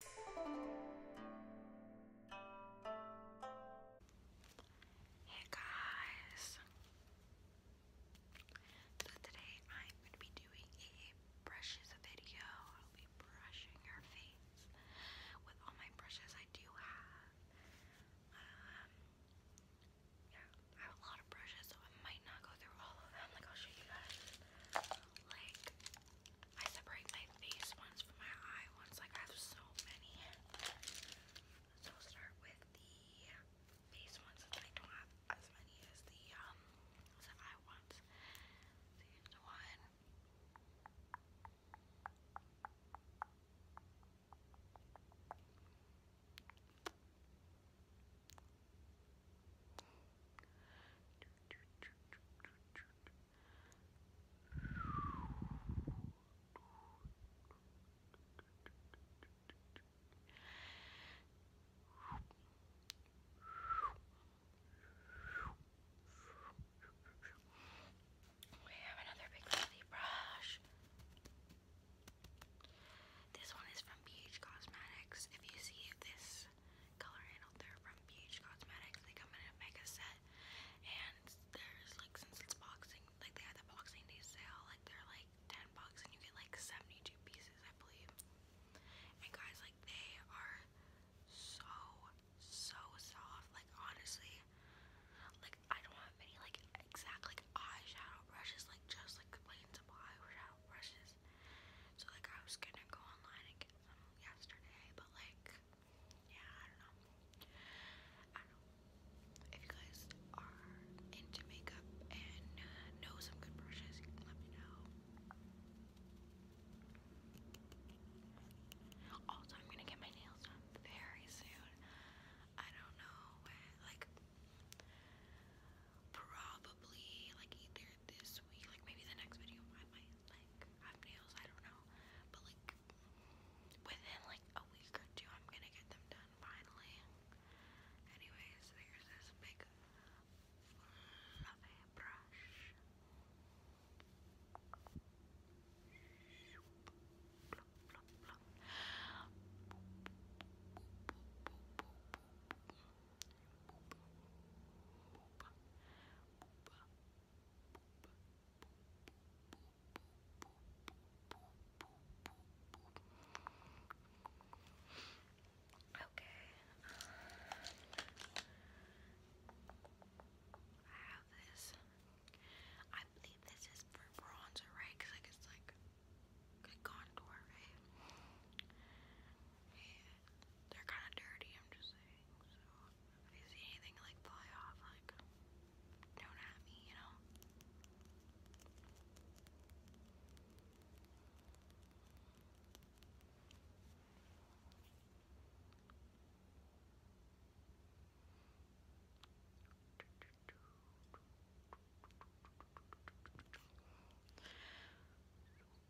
Hey guys! So today I'm going to be doing a brushes video. I'll be brushing your face with all my brushes I do have. Um, yeah, I have a lot of brushes so I might not go through all of them. Like I'll show you guys like I separate my face ones from my eye ones. Like, I have so many. So start with the face ones since I don't have as many as the, um, eye ones. one. We have another big lovely brush. This one is from BH Cosmetics. If you see this color handle. They're from Peach Cosmetics. They come in a mega set, and there's like since it's boxing, like they had the boxing day Like they're like ten bucks, and you get like seventy-two pieces, I believe. And guys, like they are so so soft. Like honestly, like I don't have any like exact like eyeshadow brushes. Like just like plain supply eyeshadow brushes. So like I was gonna go online and get yesterday, but like, yeah, I don't know. I If you guys are into makeup and know some good brushes, let me know. Also, I'm gonna get my nails done very soon. I don't know like, probably like either this week, like maybe the next video, I might like have nails, I don't know. But like within like a week or two I'm gonna get them done finally. Anyways, there's this big fluffy brush. Okay. Um, I have this. I believe this is for bronzer, right? Cause like it's like good contour, right? Yeah. They're kind of dirty. I'm just saying. So if you see anything like fly off, like don't at me, you know.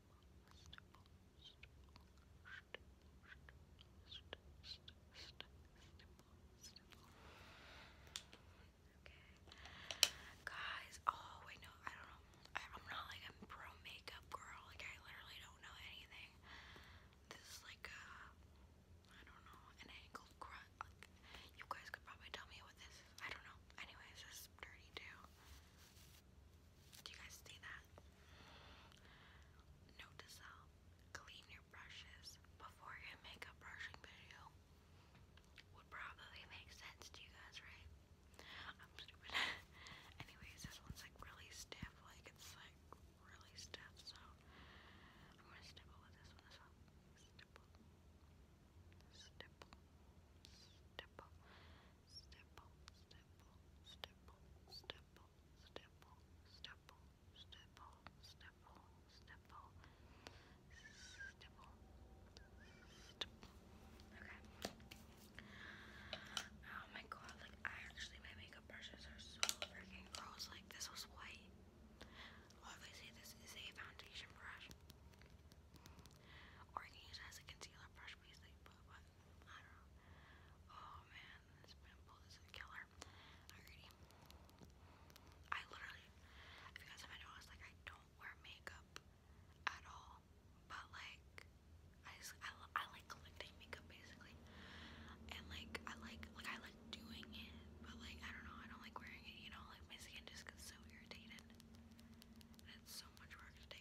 Okay. Guys, oh wait, no, I don't know. I'm not like a pro makeup girl. Like I literally don't know anything. This is like a, I don't know, an angled grunt. you guys could probably tell me what this I don't know. Anyways, this is dirty too. Do you guys see that? Note to self, clean your brushes before your makeup brushing video. Would probably make sense to you guys, right? I'm stupid. Anyways, this one's like really stiff, like it's like really stiff, so I'm gonna stipple with this one Stipple. Stipple. Stipple stipple, stipple, stipple, stipple, stipple, stipple, stipple, stipple, stipple, Okay. Oh my god, like actually my makeup brushes are so freaking gross. Like this was white. Obviously this is a foundation brush. Or you can use it as a concealer brush basically, but, I don't know. Oh man, this pimple is a killer. I literally, if you guys haven't noticed, like I don't wear makeup at all. But like, I I, like collecting makeup basically. And like, I like, like I like doing it, but like, I don't know, I don't like wearing it, you know? Like my skin just gets so irritated. it's so much let me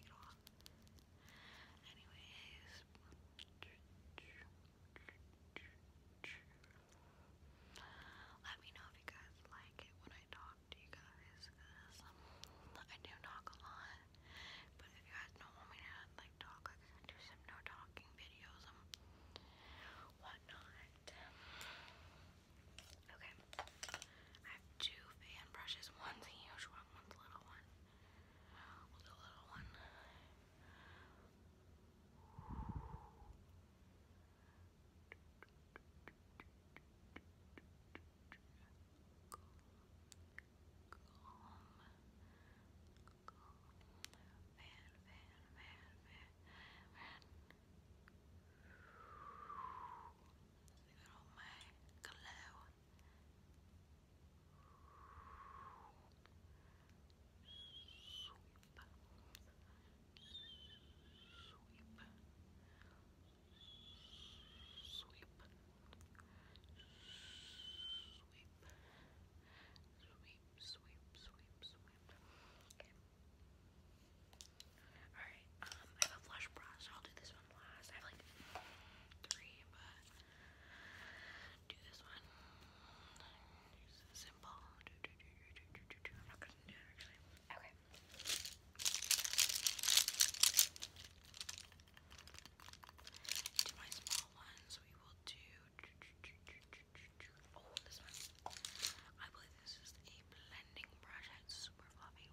know if you guys like it when I talk to you guys, cause um, I do talk a lot. But if you guys don't want me to like talk, do some no talking videos um, whatnot. Okay. I have two fan brushes. One's a huge one, one's a little one. We'll do little one all my glow. Sweep. Sweep. Sweep. Sweep. Sweep, sweep, sweep, sweep. Okay. Alright, um, I have a blush brush, I'll do this one last. I have like three, but do this one. It's simple. I'm not gonna do actually. Okay. To my small ones, we will do. Oh, this one. I believe this is a blending brush. It's super fluffy.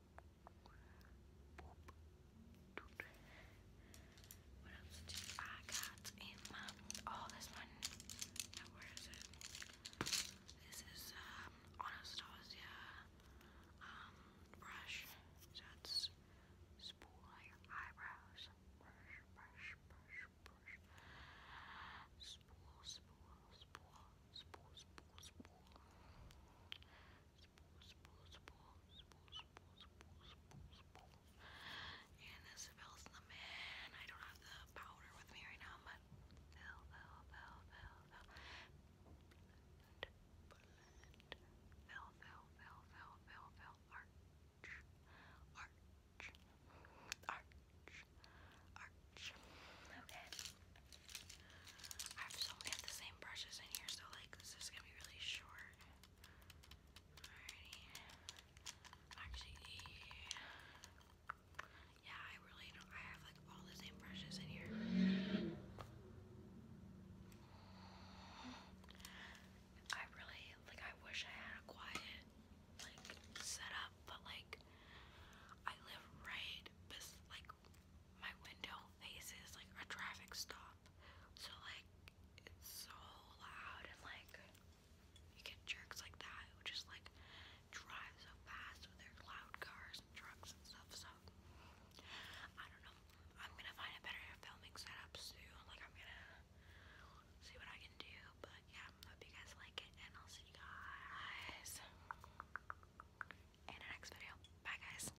What else do I got in my oh this one? where is it? This is Anastasia brush. So it's your eyebrows. Brush, brush, brush, brush. Spool, spool, spool, spool, spool, spool spool, spool, And this fills them in. I don't have the powder with me right now, but fill, fill, fill, fill, fill. Blend, fill, fill, fill, fill, fill, fill. Arch, arch, arch, arch. Okay. I have so many of the same brushes in here, so like this is gonna be really short. Actually, yeah, I really don't. I have like all the same brushes in here. I really like. I wish I had a quiet like setup, but like I live right, bes like my window faces like a traffic stop. So like it's so loud and like you get jerks like that who just like drive so fast with their loud cars and trucks and stuff. So I don't know. I'm gonna find a better filming setup soon. Like I'm gonna see what I can do. But yeah, hope you guys like it and I'll see you guys in the next video. Bye guys.